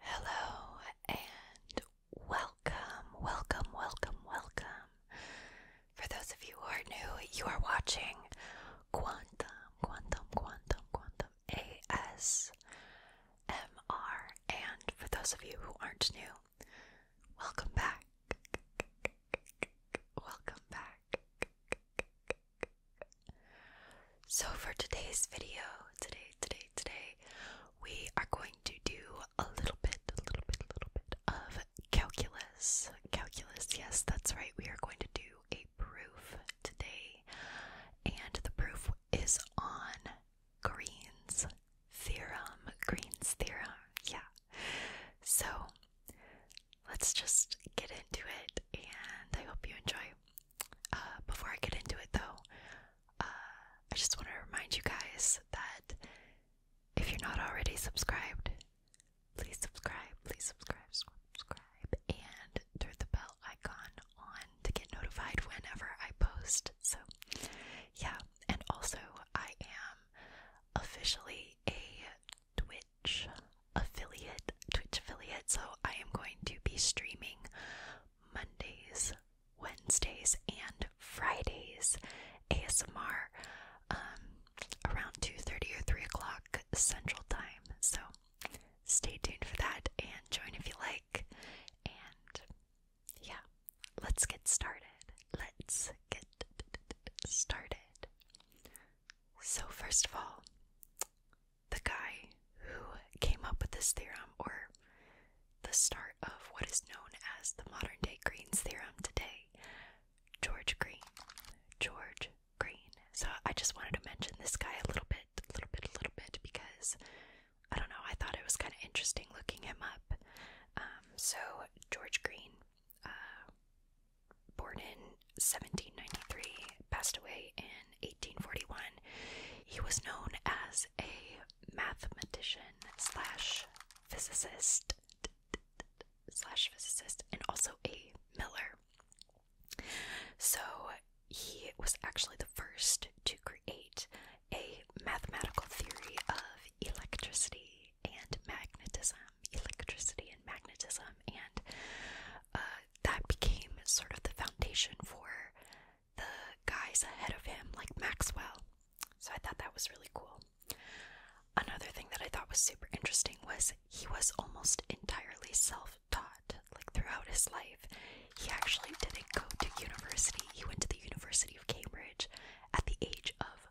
Hello and welcome, welcome, welcome, welcome. For those of you who are new, you are watching Quantum, Quantum, Quantum, Quantum ASMR. And for those of you who aren't new, Welcome back. Welcome back. So, for today's video, today, today, today, we are going to do a little bit, a little bit, a little bit of calculus. Calculus, yes, that's right. We are going to do a proof today, and the proof is on Green's theorem. Green's theorem, yeah. So let's just get into it and I hope you enjoy. Uh, before I get into it though, uh, I just want to remind you guys that if you're not already subscribed, please subscribe, please subscribe, subscribe, and turn the bell icon on to get notified whenever I post. So, yeah, and also I am officially a Twitch affiliate, Twitch affiliate, so I am going to be streaming Mondays, Wednesdays, and Fridays ASMR um, around 2.30 or 3 o'clock Central Time. So stay tuned for that and join if you like. And yeah, let's get started. Let's get started. So, first of all, the guy who came up with this theorem, or the start of what is known as the modern day Green's theorem today, George Green. George Green. So, I just wanted to mention this guy a little bit, a little bit, a little bit, because I don't know, I thought it was kind of interesting looking him up. Um, so, George Green, uh, born in 1793, passed away in 1841. He was known as a mathematician slash physicist slash physicist and also a miller. So he was actually the first to create a mathematical theory of electricity and magnetism, electricity and magnetism, and uh, that became sort of the foundation for the guys ahead of him, like Maxwell. So I thought that was really cool. Another thing that I thought was super interesting was he was almost entirely self taught, like throughout his life. He actually didn't go to university. He went to the University of Cambridge at the age of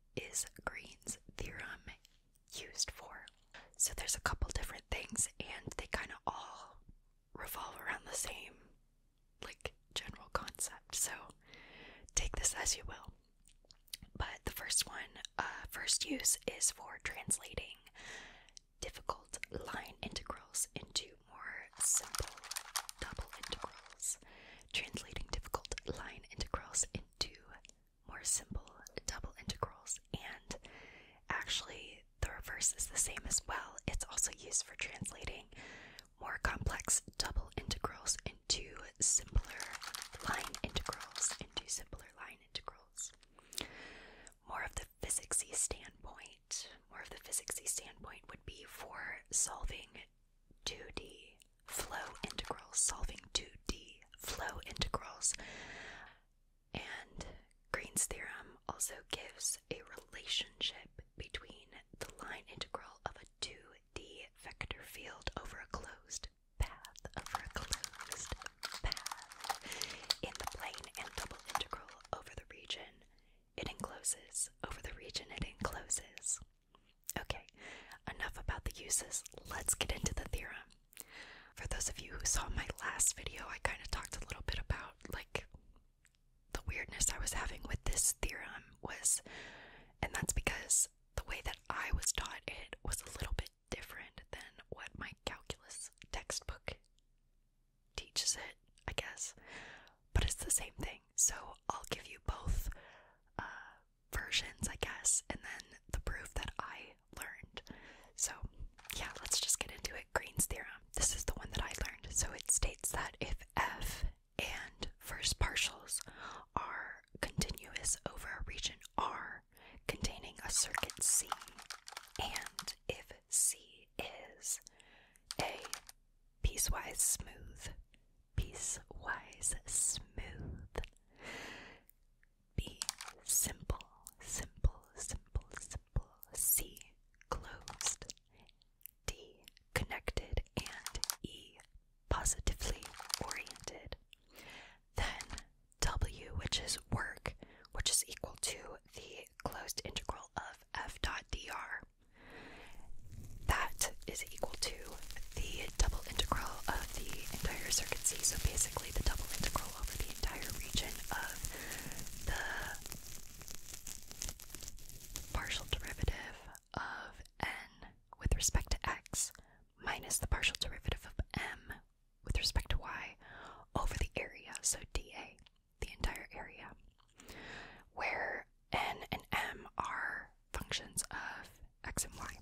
is Green's theorem used for? So there's a couple different things, and they kind of all revolve around the same, like, general concept. So take this as you will. But the first one, uh, first use is for translating difficult line integrals into more simple double integrals translating difficult line integrals into more simple double integrals, and actually, the reverse is the same as well. It's also used for translating more complex double integrals into simpler line integrals, into simpler line integrals. More of the physicsy standpoint, more of the physicsy standpoint would be for solving 2D flow integrals, solving 2D flow integrals. And Green's theorem also gives a relationship between the line integral of a 2D vector field over a closed path, over a closed path in the plane and double integral over the region it encloses, over the region it encloses. Okay, enough about the uses. Let's get into the theorem. For those of you who saw my last video, I kind of talked a little bit about like the weirdness I was having with this theorem was and that's because the way that I was taught it was a little bit different than what my calculus textbook teaches it, I guess. But it's the same thing. So I'll give you both uh, versions, I guess, and then the proof that I learned. So yeah, let's just get into it. Green's theorem. This is the one that I learned. So it states that if f and first partials are continuous over a region R containing a circuit C, and if C is a piecewise smooth, piecewise smooth. B, simple, simple, simple, simple. C, closed. D, connected. And E, positively oriented. Then W, which is work, which is equal to the closed integral of f dot dr. That is equal to the double integral of the entire circuit C, so basically the double integral over the entire region of the partial derivative of n with respect to x minus the partial derivative of m with respect to y over the area, so dA, the entire area, where N and M are functions of x and y.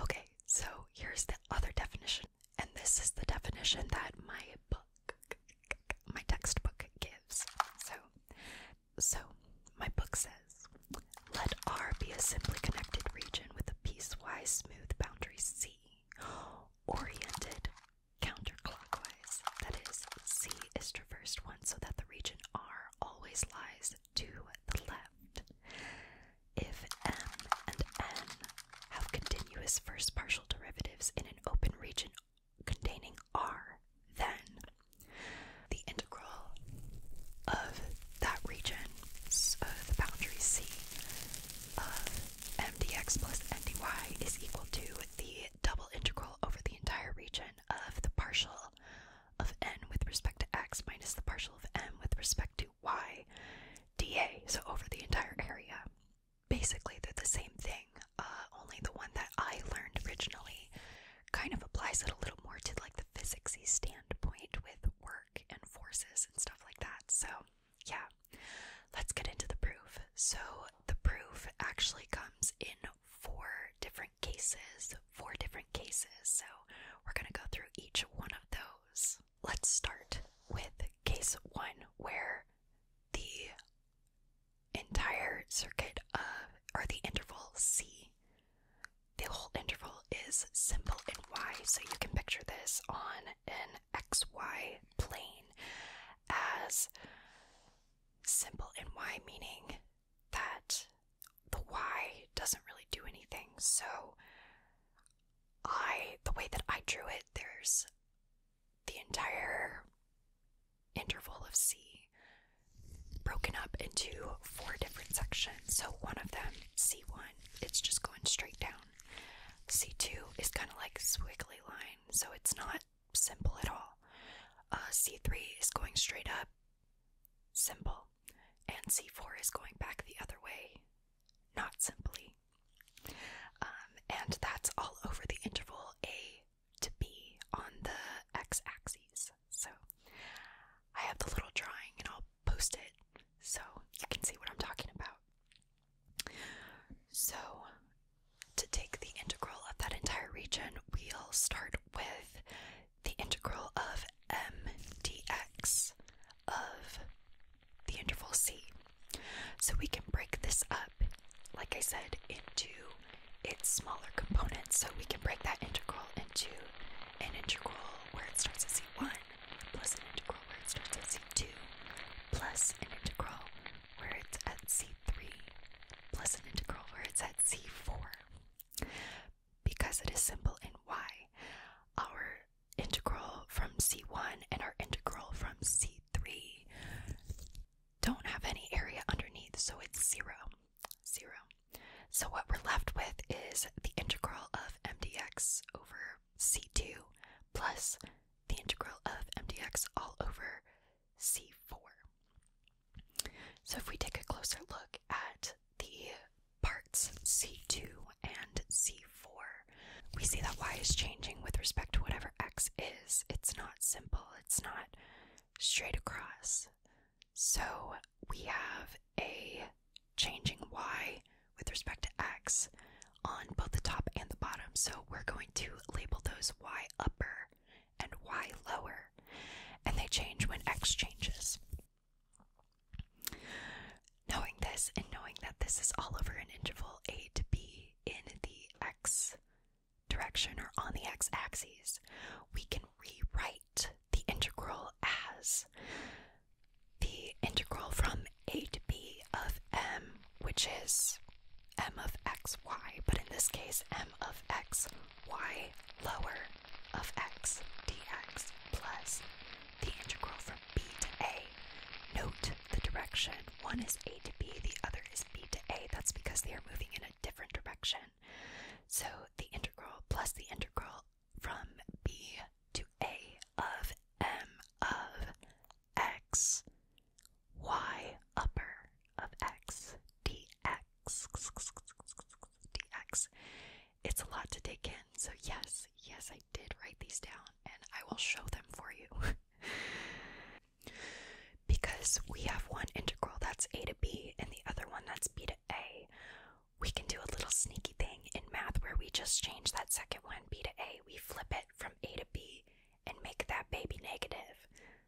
Okay, so here's the other definition, and this is the definition that my book, my textbook gives. So, so my book says, let R be a simply connected region with a piecewise smooth boundary C, oriented counterclockwise. That is, C is traversed once so that the region R always lies to the left. If m and n have continuous first partial derivatives in an open region containing r, then the integral of that region, of uh, the boundary c, of m dx plus n dy is equal to the double integral over the entire region of the partial of n with respect to x minus the partial of m with respect to y dA, so over the entire area. Basically, they're the same thing, uh, only the one that I learned originally kind of applies it a little more to like the physicsy standpoint with work and forces and stuff like that. So, yeah, let's get into the proof. So, the proof actually comes in four different cases, four different cases. So we're going to go through each one of those. Let's start with case one, where the entire circuit of, uh, or the interval C, the whole interval is simple in Y. So you can picture this on an XY plane as simple in Y, meaning that the Y doesn't really do anything. So I the way that I drew it, there's the entire interval of C broken up into four different sections. So one of them, C1, it's just going straight down. C2 is kind of like a squiggly line, so it's not simple at all. Uh, C3 is going straight up. Simple. And c4 is going back the other way. Not simply. Um, and that's all over the interval a to b on the x axis. So I have the little drawing and I'll post it so you can see what I'm talking about. So to take the integral of that entire region, we'll start with the integral of m dx of the interval c. So we can break this up, like I said, into its smaller components. So we can break that integral into an integral where it starts at c1, plus an integral where it starts at c2, plus an integral where it's at c3, plus an integral where it's at c4 because it is simple in y. Our integral from c1 and our integral from c3 don't have any area underneath, so it's zero, zero. So what we're left with is the integral of mdx over c2 plus the integral of mdx all over c4. So, if we take a closer look at the parts C2 and C4, we see that y is changing with respect to whatever x is. It's not simple, it's not straight across. So, we have a changing y with respect to x on both the top and the bottom. So, we're going to label those y upper and y lower and they change when x changes. Knowing this and knowing that this is all over an interval a to b in the x direction or on the x axis, we can rewrite the integral as the integral from a to b of m, which is m of xy, but in this case, m of x y lower of x dx plus the integral from b to a. Note the direction. One is a to b, the other is b to a. That's because they are moving in a different direction. So the integral plus the integral from b to a of m of x y upper of x dx dx. It's a lot to take in, so yes, yes, I did write these down and I will show them for you. because we have one integral that's a to b and the other one that's b to a, we can do a little sneaky thing in math where we just change that second one, b to a, we flip it from a to b and make that baby negative.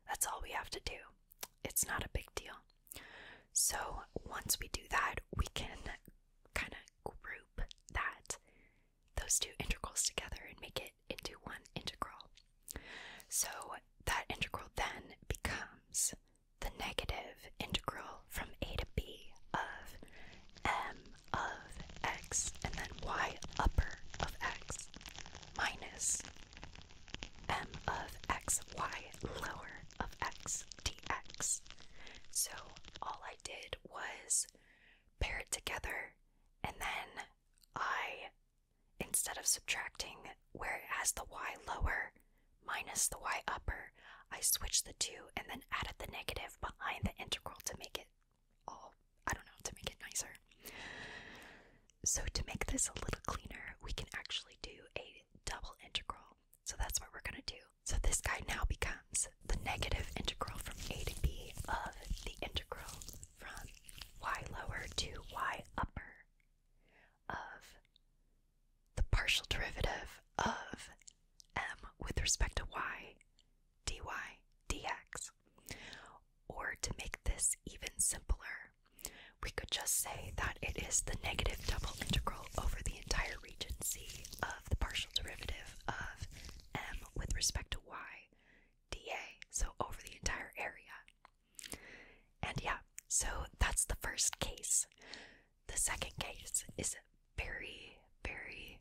That's all we have to do. It's not a big deal. So once we do that, we can kind of group that those two integrals together and make it into one integral. So that integral then becomes the negative integral from a to b of m of x and then y upper of x minus m of x y lower of x dx. So all I did was pair it together and then I, instead of subtracting where it has the y lower minus the y upper, I switched the two and then added the negative behind the integral to make it all, I don't know, to make it nicer. So to make this a little cleaner, we can actually do a double integral. So that's what we're going to do. So this guy now becomes the negative integral from a to b of the integral from y lower to y upper of the partial derivative of m with respect to y dy dx. Or to make this even simpler, we could just say that it is the negative double integral over the entire region C of the partial derivative of m with respect to y dA, so over the entire area. And yeah, so that's the first case. The second case is very, very,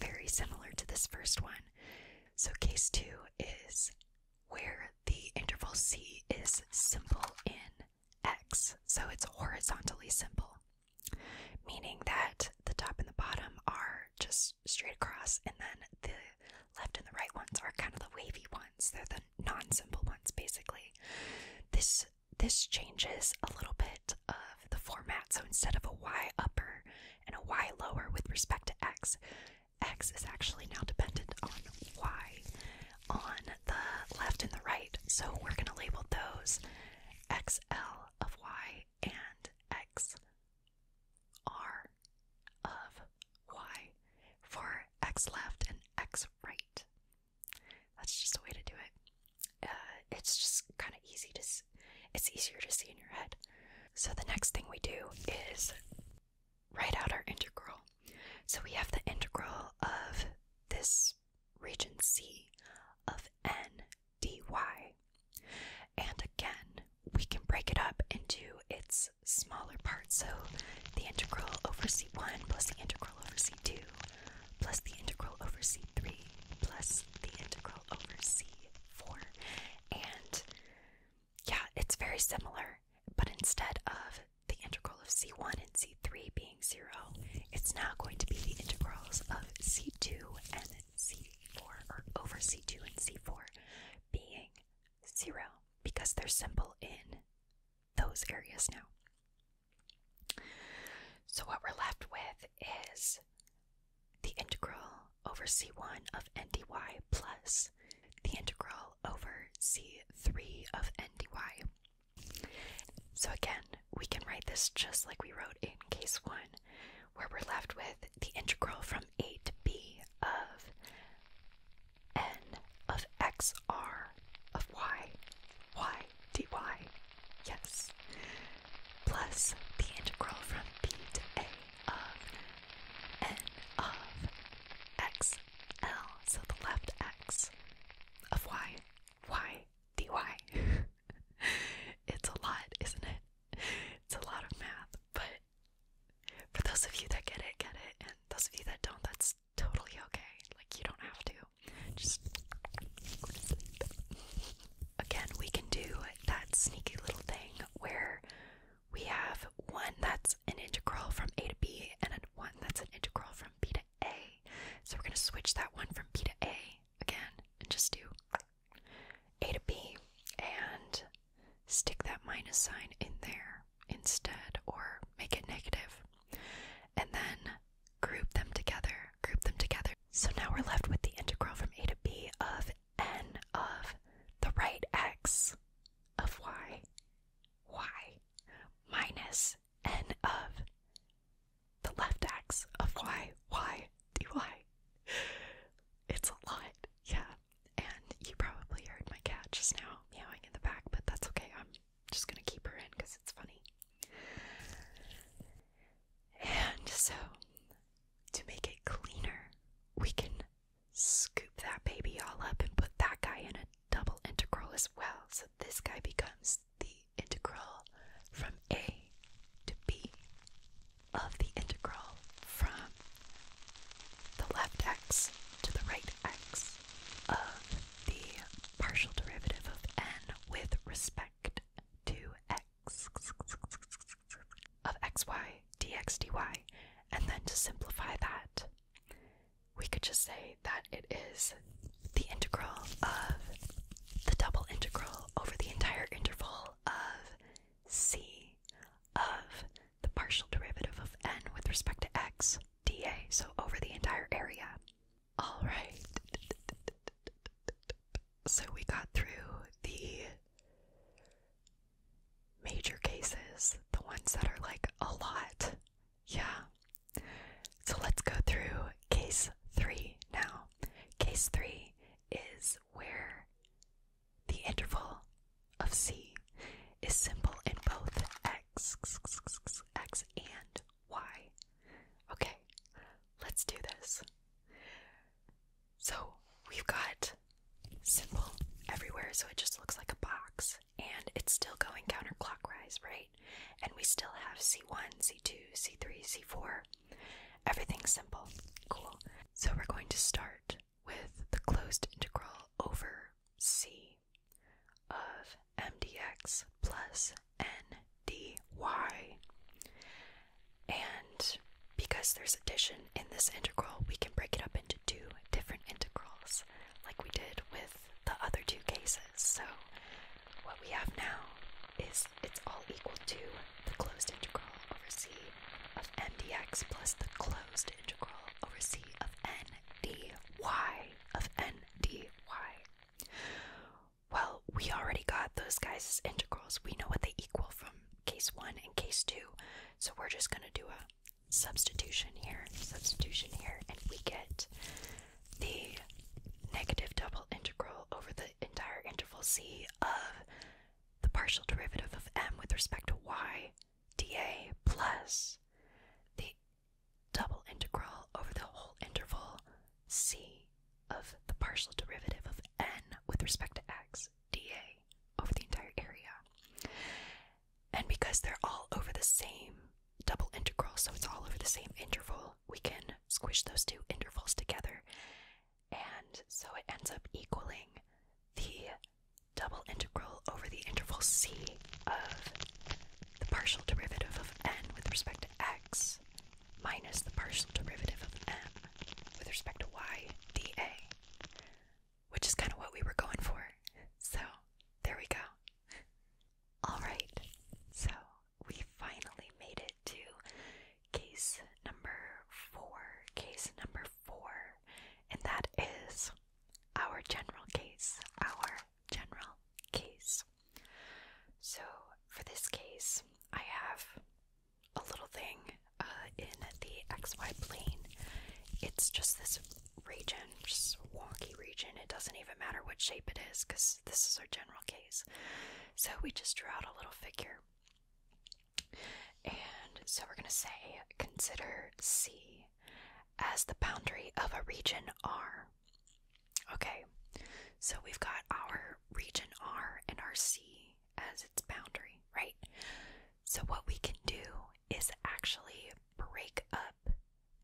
very similar to this first one. So, case two is where the interval c is simple in x, so it's horizontally simple, meaning that the top and the bottom are just straight across, and then the left and the right ones are kind of the wavy ones. They're the non-simple ones, basically. This this changes a little bit of the format. So instead of a y upper and a y lower with respect to x, x is actually now dependent on y on the left and the right. So we're going to label those XL of Y and XR of Y for X left and X right. That's just a way to do it. Uh, it's just kind of easy to, it's easier to see in your head. So the next thing we do is write out our integral. So we have the integral of this region C of n dy. And again, we can break it up into its smaller parts. So the integral over C1 plus the integral over C2 plus the integral over C3 plus the integral over C4. And yeah, it's very similar, but instead of the integral of c1 and c3 being 0, it's now going to be the integrals of c2 and c4, over c2 and c4 being 0, because they're simple in those areas now. So what we're left with is the integral over c1 of n dy plus the integral over c3 of n dy so again, we can write this just like we wrote in case 1, where we're left with the integral from a to b of n of x r of y, y dy, yes, plus the integral from b to a of n of x l, so the left x of y, y, dy. it's a lot, isn't it? It's a lot of math, but for those of you that get it, get it, and those of you that don't, that's totally okay. Like, you don't have to. Just again, we can do that sneaky little thing where we have one that's an integral from a to b and then one that's an integral from b to a. So we're going to switch that one from B to A again and just do A to B and stick that minus sign in there instead or make it And then group them together, group them together. So now we're left with the integral from A to B of n of the right x of y, y minus and of the left axis of y, y, dy. It's a lot, yeah. And you probably heard my cat just now meowing in the back, but that's okay. I'm just gonna keep her in because it's funny. And so, to make it cleaner, we can scoop that baby all up and put that guy in it double integral as well. So this guy becomes the integral from a to b of the integral from the left x to the right x of the partial derivative of n with respect to x of xy dx dy. And then to simplify that, we could just say that it is the integral of the double integral over the entire interval of c of the partial derivative of n with respect to x dA, so over the entire area. All right. So we got through the major cases, the ones that are like a lot yeah. So let's go through case three now. Case three is where the interval of C is simple in both x, x and y. Okay, let's do this. So we've got simple everywhere, so it just looks like a box and it's still going counterclockwise, right? And we still have c1, c2, c3, c4. Everything's simple. Cool. So we're going to start with the closed integral over c of m dx plus n dy. And because there's addition in this integral, we can break it up into two different integrals, like we did with the other two cases. So what we have now is it's all equal to the closed integral over c of m plus the closed integral over c of n dy of n dy. Well, we already got those guys' integrals. We know what they equal from case 1 and case 2. So we're just going to do a substitution here, substitution here, and we get the negative double integral over the entire interval c of the partial derivative of m with respect to y dA plus the double integral over the whole interval c of the partial derivative of n with respect to x dA over the entire area. And because they're all over the same double integral, so it's all over the same interval, we can squish those two intervals together. And so it ends up equaling the double integral over the interval c of the partial derivative of n with respect to x minus the partial derivative of m with respect to y dA, which is kind of what we were going for. So there we go. Alright, so we finally made it to case number four. Case number four, and that is our general case. Our general case. So, for this case, I have a little thing uh, in the XY plane. It's just this region, just wonky region. It doesn't even matter what shape it is because this is our general case. So we just draw out a little figure. And so we're going to say consider C as the boundary of a region R. Okay, so we've got our region R and our C as its boundary, right? So what we can do is actually break up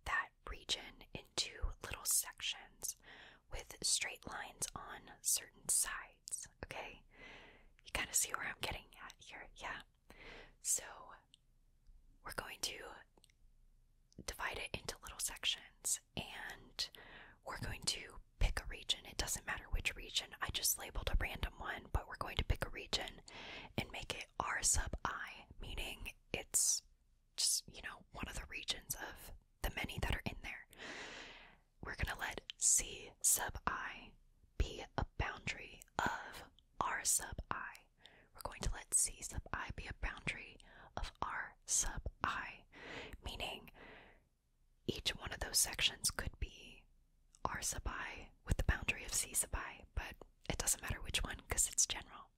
that region into little sections with straight lines on certain sides. Okay? You kind of see where I'm getting at here. Yeah. So we're going to divide it into little sections and we're going to pick a region. It doesn't matter which region, I just labeled a random one, but we're going to pick a region and make it R sub i, meaning it's just, you know, one of the regions of the many that are in there. We're going to let C sub i be a boundary of R sub i. We're going to let C sub i be a boundary of R sub i, meaning each one of those sections could be R sub i with the boundary of C sub i, but it doesn't matter which one because it's general.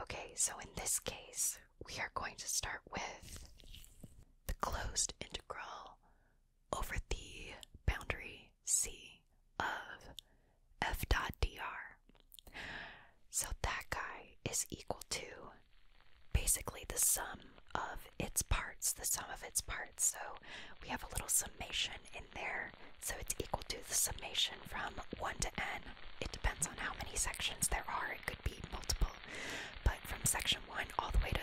Okay, so in this case, we are going to start with the closed integral over the boundary C of f dot dr. So that guy is equal to basically the sum of its parts, the sum of its parts. So we have a little summation in there, so it's equal to the summation from 1 to n. It depends on how many sections there are, it could be multiple, but from section 1 all the way to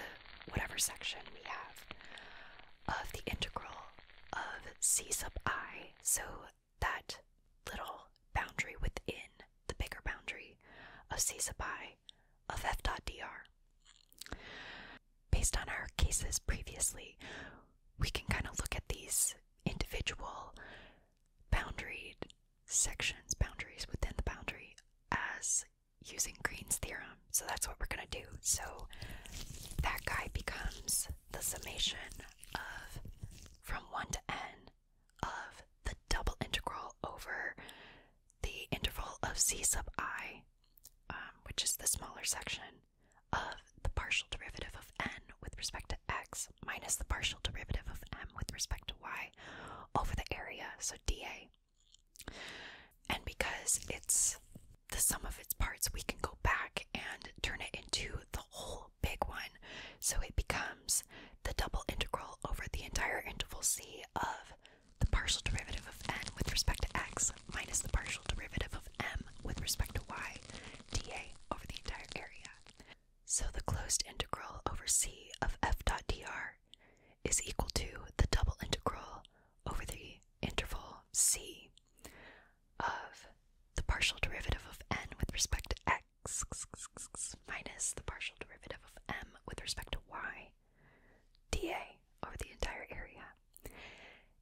whatever section we have of the integral of c sub i, so that little boundary within the bigger boundary of c sub i of f dot dr. Based on our cases previously, we can kind of look at these individual bounded sections, boundaries within the boundary, as using Green's theorem. So that's what we're going to do. So that guy becomes the summation of from 1 to n of the double integral over the interval of c sub i, um, which is the smaller section, of the partial derivative of n with respect to x minus the partial derivative of m with respect to y over the area, so dA. And because it's the sum of its parts, we can go back and turn it into the whole big one. So it becomes the double integral over the entire interval c of the partial derivative of n with respect to x minus the partial derivative of m with respect to y dA over the entire area. So the closed integral over c of f dot dr is equal to the double integral over the interval c of the partial derivative of n with respect to x minus the partial derivative of m with respect to y dA over the entire area.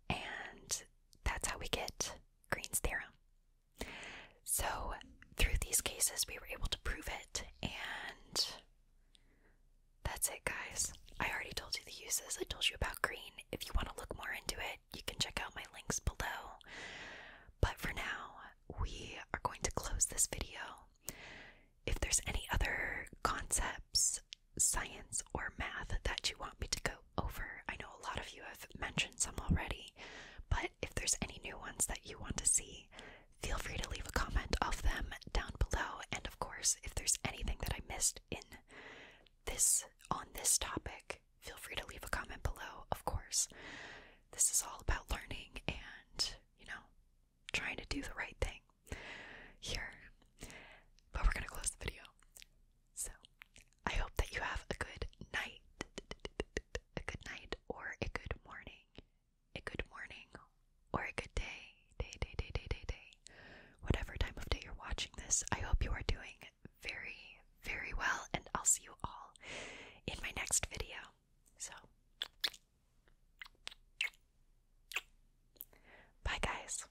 And that's how we get Green's theorem. So, through these cases, we were able to prove it, and that's it, guys. I already told you the uses, I told you about green. If you want to look more into it, you can check out my links below. But for now, we are going to close this video. If there's any other concepts, science, or math that you want me to go over. I know a lot of you have mentioned some already, but if there's any new ones that you want to see, feel free to leave a comment of them down below. And of course, if there's anything that I missed in this on this topic, feel free to leave a comment below. Of course, this is all about learning and, you know, trying to do the right thing here. But we're going to close the video. So, I hope that you have a good night, a good night, or a good morning, a good morning, or a good day, day, day, day, day, day, Whatever time of day you're watching this, I hope you are doing very, very well, and I'll see you all in my next video. So, bye, guys.